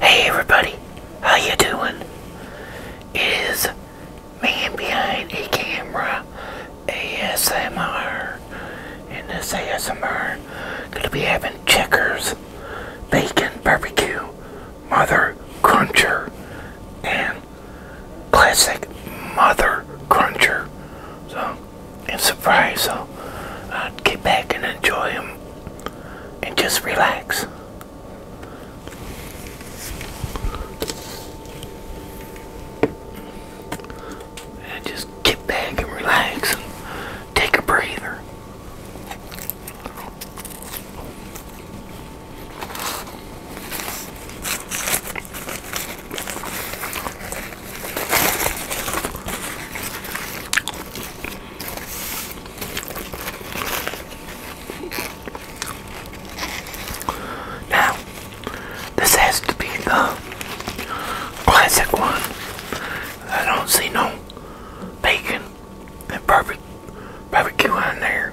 Hey everybody, how you doing? It is man behind a camera ASMR. and this ASMR, gonna be having checkers, bacon barbecue, mother cruncher, and classic mother cruncher. So, and surprise. So, I'll uh, get back and enjoy them and just relax. And just get back and relax and take a breather. Now, this has to be the classic one. I don't see no bacon and barbecue barbecue on there.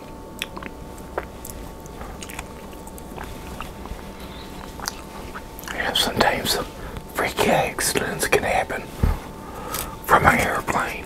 And sometimes freak accidents can happen from an airplane.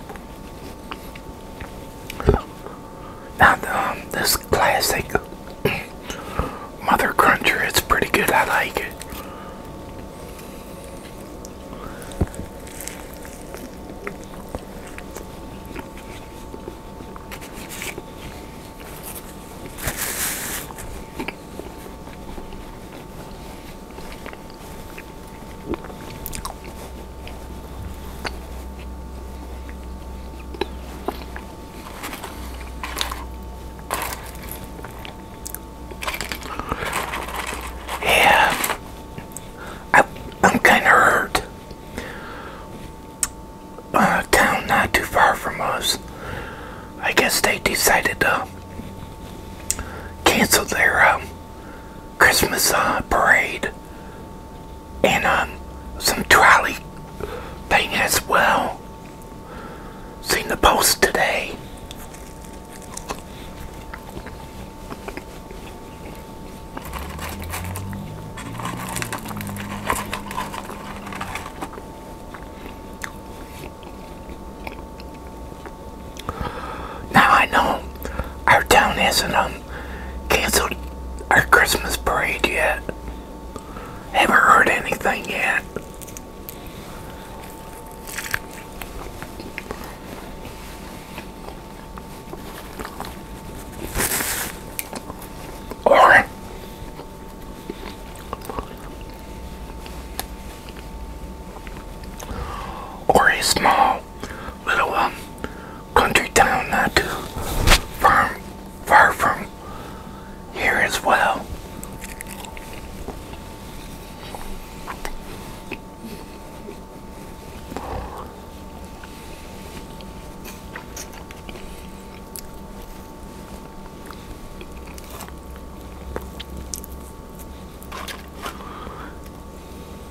Now, um, this classic Mother Cruncher is pretty good. I like it. Yeah, I, am kind of hurt. Uh, town not too far from us. I guess they decided to cancel their um, Christmas uh, parade and um, some trolley thing as well. Seen the post today. Now I know our town hasn't um, canceled our Christmas parade yet. Haven't heard anything yet. Or or a small little um, country town not too far, far from here as well.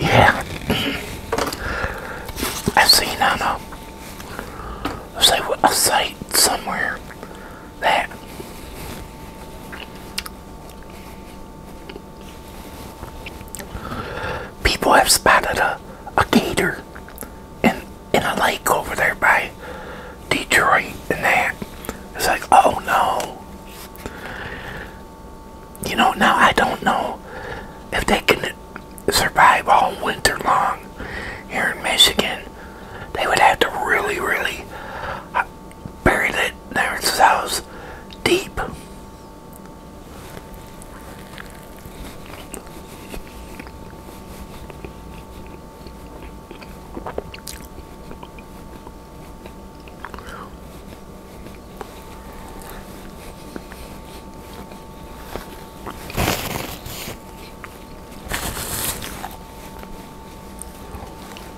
Yeah, I seen on a, a site somewhere that People have spotted a, a gator in, in a lake over there by Detroit and that. It's like, oh no. You know, now I don't know if they can survive all winter long here in Michigan. They would have to really, really buried it house, deep.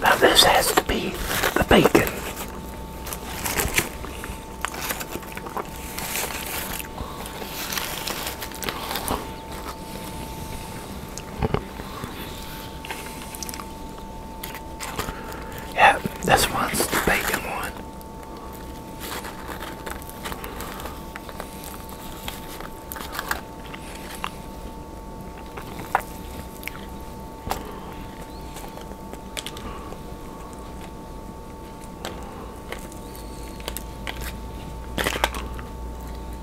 Now this has to be the bacon. Yeah, this one's the bacon one.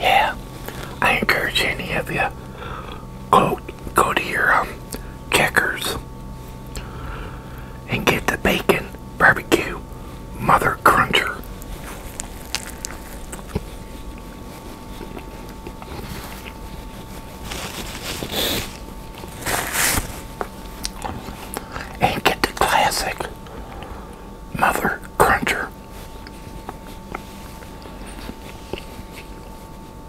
Yeah, I encourage any of you go go to your um Checkers and get the bacon barbecue mother cruncher. And get the classic mother cruncher.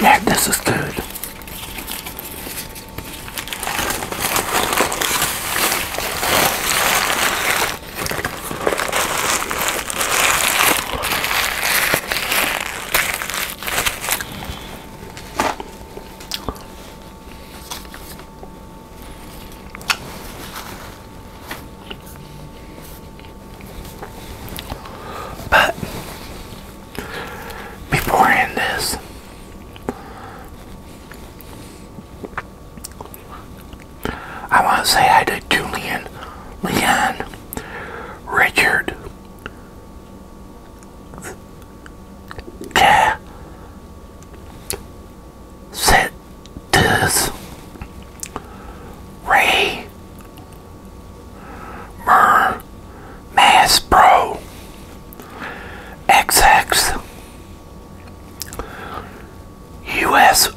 Yeah, this is good. But before I end this, I want to say hi to Julian, Leon, Richard, Cat, Setis, Ray, Myrrh, Mass Pro XX USYA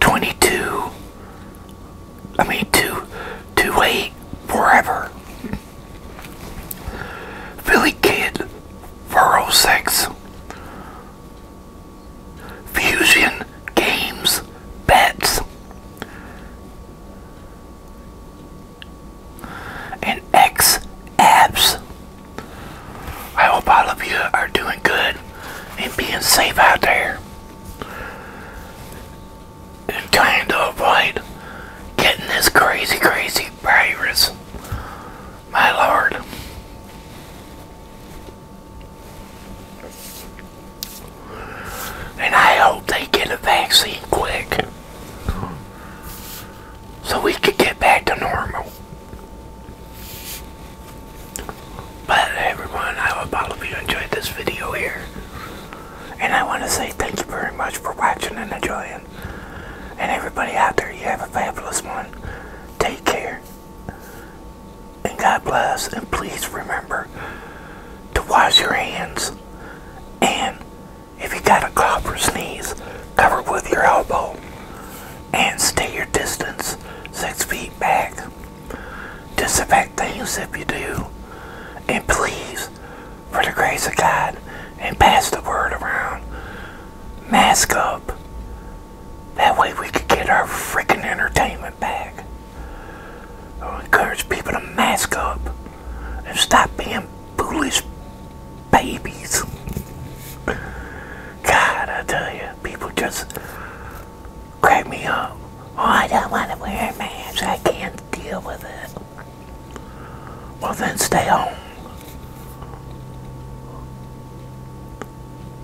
22 I mean 2 forever Philly Kid 406 Fusion Games Bets and X Apps. I hope all of you are doing good and being safe out there. And trying to avoid getting this crazy, crazy virus. My lord. And I hope they get a vaccine quick so we can get back to normal. But everyone, I hope all of you enjoyed this video here. And I want to say thank you very much for watching and enjoying. And everybody out there, you have a fabulous one. Take care and God bless. And please remember to wash your hands. And if you got a cough or sneeze, cover with your elbow. And stay your distance six feet back. Disinfect things if you do. And please, for the grace of God, and pass the word around. Mask up. That way we could get our freaking entertainment back. i encourage people to mask up and stop being foolish babies. God, I tell you, people just crack me up. Oh, I don't want to wear a mask. I can't deal with it. Well, then stay home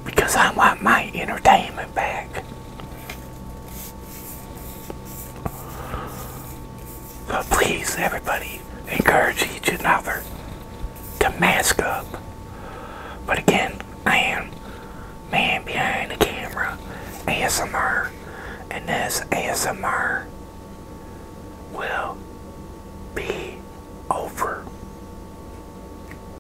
because I want my entertainment back. So please, everybody, encourage each other to mask up. But again, I am man behind the camera, ASMR, and this ASMR will be over.